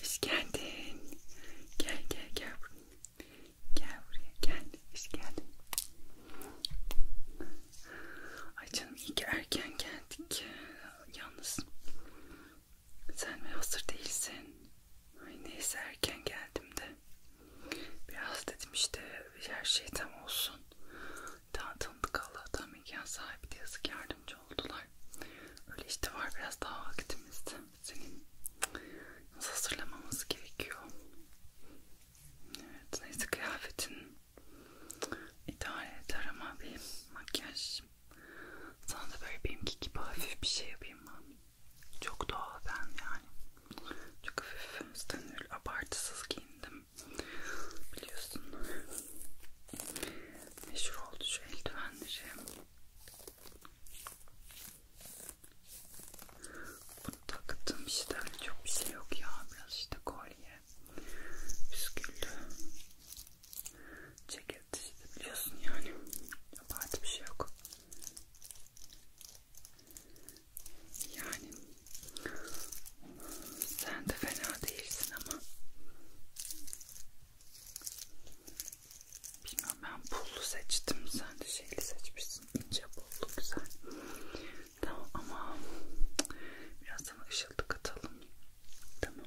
Hoş geldin. Gel gel gel buraya. Gel buraya gel. Hoş geldin. Ay canım iyi ki erken geldik. Yalnız sen mi hazır değilsin? Ay neyse erken geldim de. Biraz dedim işte her şey tam olsun. Daha tanıdık Allah'tan mekan sahibi de yazık yardımcı oldular. Öyle işte var biraz daha vakitimiz. Senin nasıl hazırlamamız gerekiyor. Evet neyse kıyafetin idare eder ama bir makyaj. Sana da böyle benimki gibi hafif bir şey yapayım ben. Çok doğal ben yani. Çok hafif üstenül abartısız giyindim. Biliyorsun. Meşhur oldu şu eldivenleri. Bunu taktım işte çok bir şey yok ya biraz işte kolye, püsküllü, ceket işte biliyorsun yani yabancı bir şey yok. Yani sen de fena değilsin ama Bilmiyorum ben pullu seçtim. Sen de şeyli seçmişsin. İnce pullu güzel. Tamam ama biraz sana ışıltı katalım. Tamam.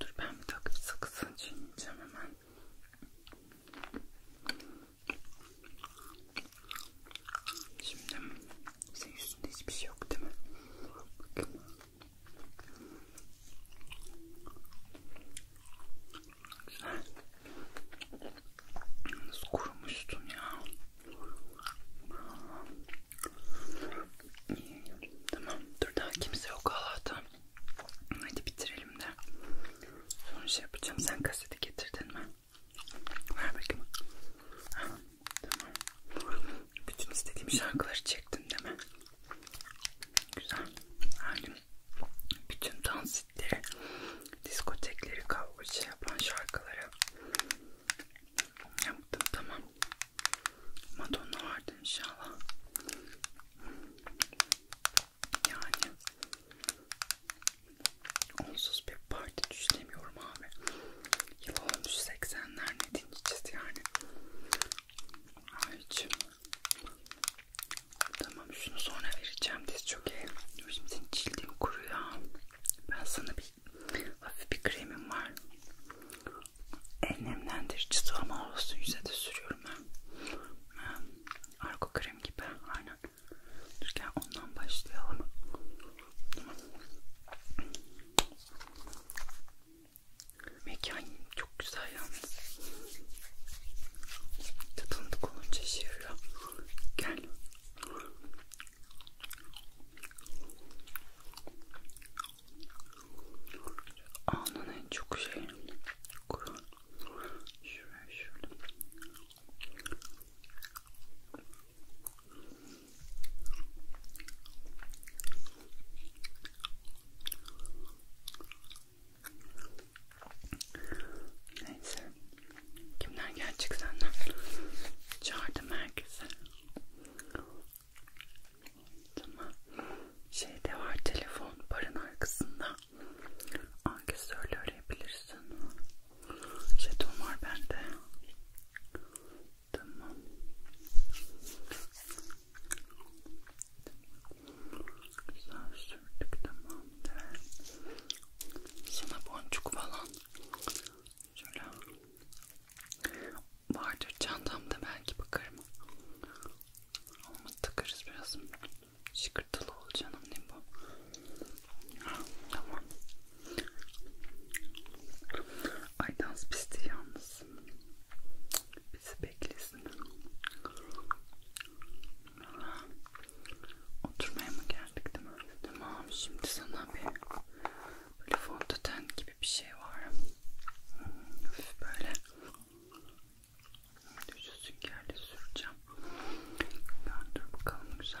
Dur ben bir takıp sakızını çiğneyeceğim hemen. Şimdi senin üstünde hiçbir şey yok değil mi? Bakın. Güzel. Nasıl kurumuştun ya? İyi. Tamam. Dur daha kimse yok Allah'tan. Hadi bitirelim de. Sonra şey yapacağım. Sen kaseti getirdin mi? Ver bakayım. Tamam. Bütün istediğim şarkıları çektim değil mi? Güzel. Yani bütün dansitleri, diskotekleri, kavga şey yapan şarkıları yaptım tamam. Madonna vardı inşallah. Yani onsuz bir parti düşünemiyorum abi. Yıl olmuş 80'ler ne dinleyeceğiz yani. Hiç. Tamam şunu sonra vereceğim diz çok iyi. Şimdi senin cildin kuru ya. Ben sana bir hafif bir kremim var. En nemlendiricisi ama olsun yüze de sürüyorum ben. ben argo krem gibi aynen. Dur gel ondan başlayalım. Tamam. Mekan çok güzel yalnız. Tanıdık olunca işe yarıyor. Gel. Anın en çok şey kuru. Şuraya şöyle. Neyse. Kimler gelecek senden? Çağırdım herkese. Tamam. Şey de var telefon barın arkasında. Ankesörle arayabilirsin. Jeton var bende. Tamam. Güzel sürdük tamamdır. Sana boncuk falan şöyle vardır çantamda belki bakarım. Ama takarız biraz. Şıkırtılı ol canım ne bu? Ha, tamam. Ay dans pisti yalnız bizi beklesin. Oturmaya mı geldik değil mi? Tamam şimdi sana bir böyle fondöten gibi bir şey var. Hafif böyle şu süngerle süreceğim. Döndür bakalım güzel.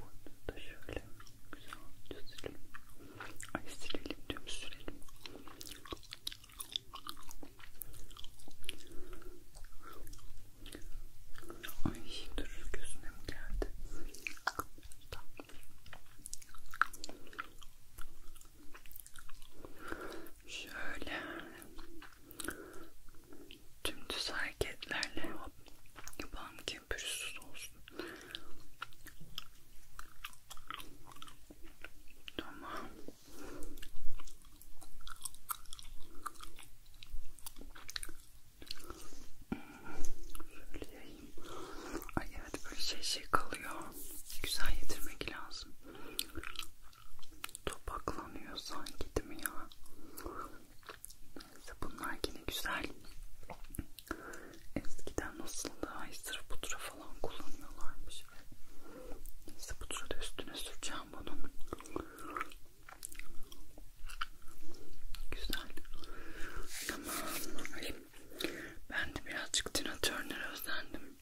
Bunu da şöyle güzelce silelim. Ay silelim diyorum sürelim. Ay dur gözüme mi geldi? Şöyle tüm düz hareketlerle yapalım ki bakayım pürüzsüz olsun. Tamam. Şöyle yayayım. Ay evet böyle şey şey kalıyor. Güzel yedirmek lazım. Topaklanıyor sanki değil mi ya? Neyse bunlar yine güzel. Eskiden nasıl daha sırf pudra falan kullanıyorlarmış. Neyse pudra da üstüne süreceğim bunun. Güzel. Tamam. Ben de birazcık Tina Turner'a özendim.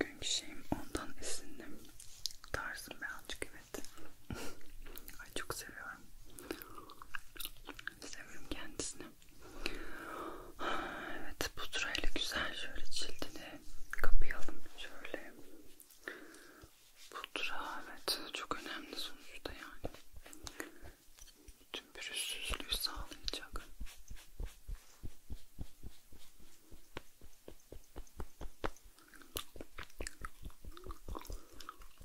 Bugünkü şeyim ondan esindim. Tarzım birazcık evet. Evet. Ay çok seviyorum. Seviyorum kendisini. Evet pudrayla güzel şöyle cildini kapayalım şöyle. Pudra evet çok önemli sonuçta yani. Bütün pürüzsüzlüğü sağlayacak.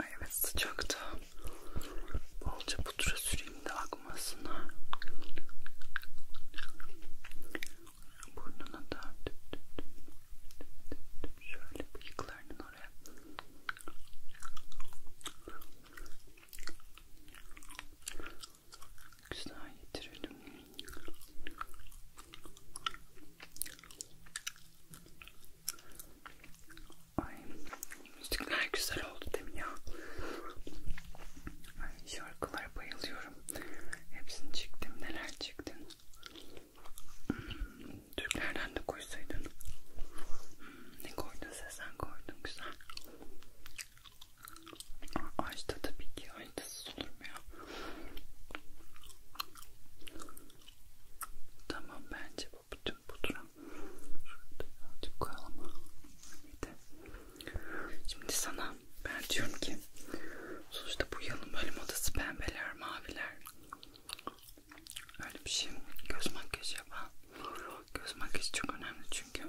Ay evet sıcakta bolca pudra süreyim de akmasına. Burnuna da tüp tüp tüp tüp tüp şöyle bıyıklarının oraya. Güzel getirelim. Ay müzikler güzel oldu değil mi ya? Ay şarkılara bayılıyorum. Hepsini çektim. Neler çektin? Hmm, Türklerden de koysaydın. Hmm, ne koydun sen? Sen koydun. Güzel. Ajda tabii ki ajdasız olur mu ya? Tamam bence bu bütün pudra şurada birazcık koyalım. Şimdi sana ben diyorum ki sonuçta bu yılın bölüm odası pembeler, maviler öyle bir şey göz makyajı yapalım. Göz makyajı çok önemli çünkü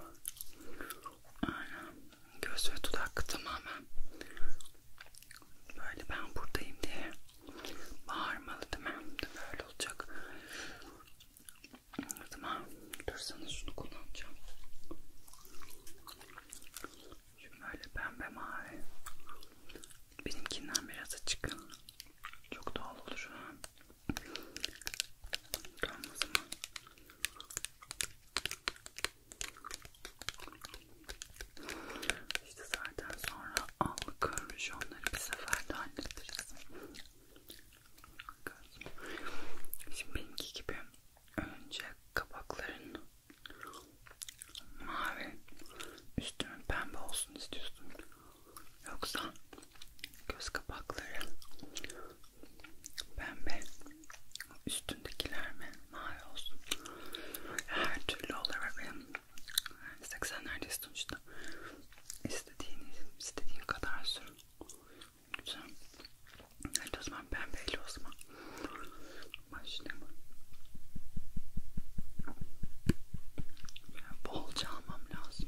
Aynen. Göz ve dudak tamamen böyle ben buradayım diye bağırmalı değil mi? Böyle olacak. O zaman dur sana şunu kullanacağım. Şimdi böyle pembe mavi. Benimkinden biraz açık. Çok doğal olur. Tamam o zaman. İşte zaten sonra allı kırmış onları bir seferde hallederiz. Şimdi benimki gibi önce kabakların mavi üstünün pembe olsun istiyorsun. Yoksa göz kapakları pembe üstündekiler mi mavi olsun her türlü olur ve benim 80'lerde sonuçta istediğiniz istediğin kadar sürün güzel hadi o zaman pembeyle o zaman başlayalım Bolca almam lazım.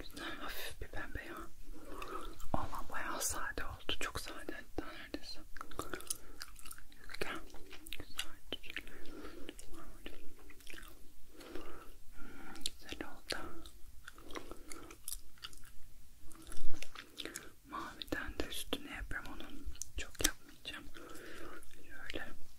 Güzel hafif bir pembe ya. Allah bayağı sade oldu. Çok sade hatta neredeyse. Güzel. Güzel oldu. Maviden de üstüne yapıyorum onun. Çok yapmayacağım. Şöyle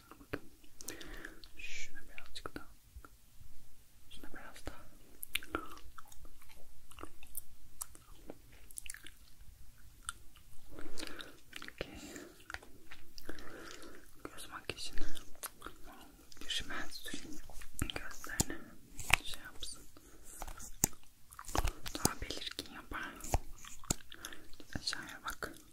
Bakın. Şuna birazcık daha. Şuna biraz daha. Okay. Göz makyajını bir şimen süreyim gözlerine şey yapsın daha belirgin yapar aşağıya bak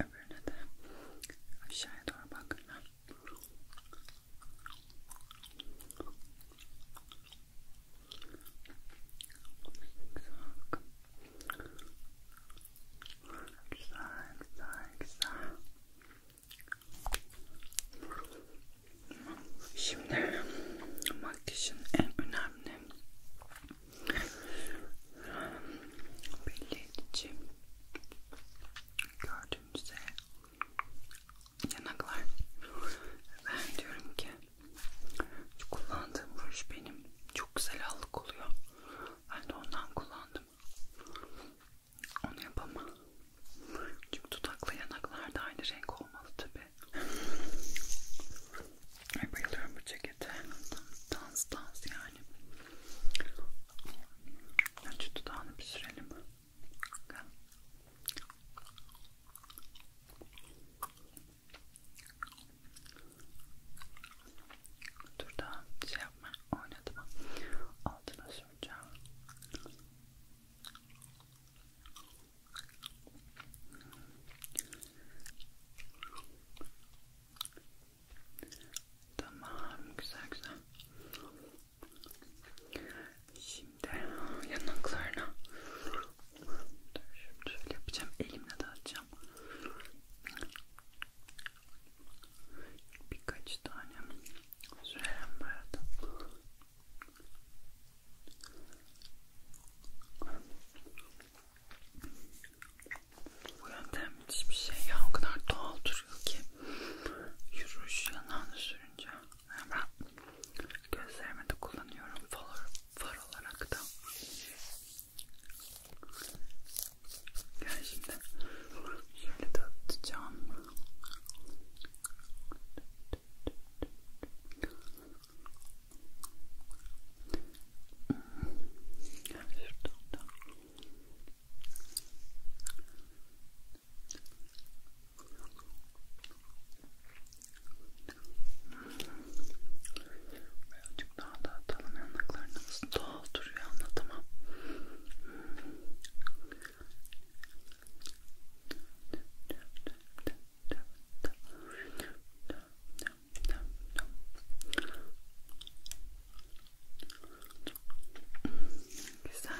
öbürüne de aşağıya doğru bak. Güzel, güzel, güzel. Şimdi makyajın en önemli belli edici gördüğünüzde yanaklar ben diyorum ki şu kullandığım ruj benim çok güzel allık oluyor ben de ondan kullandım onu yapamam çünkü dudakla yanaklar da aynı renk olmalı tabi Ay bayılıyorum bu cekete. Dans dans yani. Önce dudağını bir sürelim. Bakalım. Dur daha şey yapma. Oynadım. Altına süreceğim. Tamam güzel güzel. Şimdi yanaklarına şimdi şöyle yapacağım elimle dağıtacağım. Birkaç tane sürelim buraya da. Bu yöntem müthiş bir şey ya o kadar doğal duruyor ki yürüyüş yanağını sürünce yani ben gözlerime de kullanıyorum far, far olarak da gel şimdi şöyle de atacağım Birazcık daha da atalım yanaklarını nasıl doğal duruyor anlatamam. Güzel.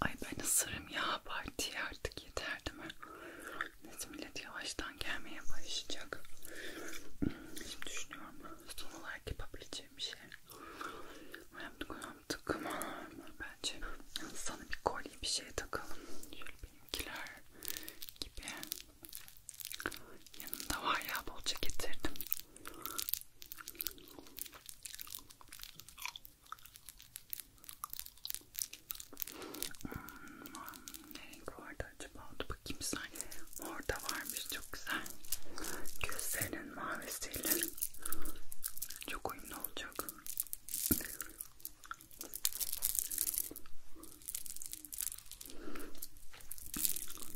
Ay ben ısırım ya partiye artık yeter değil mi? Neyse millet yavaştan gelmeye başlayacak. Şimdi düşünüyorum son olarak yapabileceğim bir şey. Yaptık yaptık ama bence sana bir kolye bir şey takalım. Şöyle benimkiler gibi yanında var ya bolca getirdim hmm, ne renk vardı acaba Dur bakayım sanki orada varmış çok güzel gözlerinin mavisiyle çok uyumlu olacak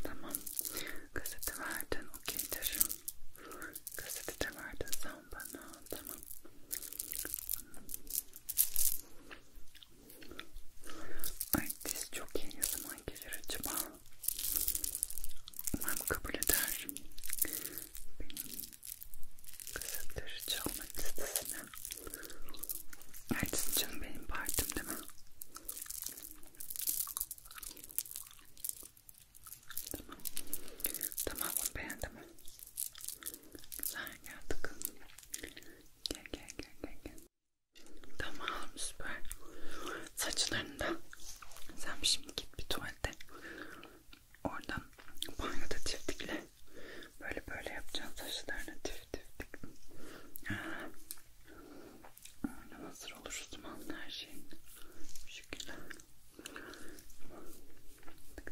Tamam. Gazete verdin. Okeydir. Gazete de verdin sen bana. Tamam. Ay diz çok iyi. Ne zaman gelir acaba? Umarım kabul eder. Benim Kısıldırıcı olmak istesine Ertesi canım benim partim değil mi? Tamam Tamam bunu beğendim Gel gel gel gel gel Tamam süper Saçlarını da Sen şimdi git bir tuvalete oradan banyoda tiftikle böyle böyle yapacağım saçlarını tiftik tif. Oradan hazır olur uzmanlı her şeyin bu şekilde tık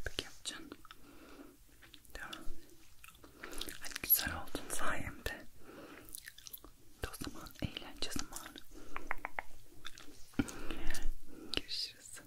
tık yapacağım tamam hani güzel oldun sayemde o zaman eğlence zamanı görüşürüz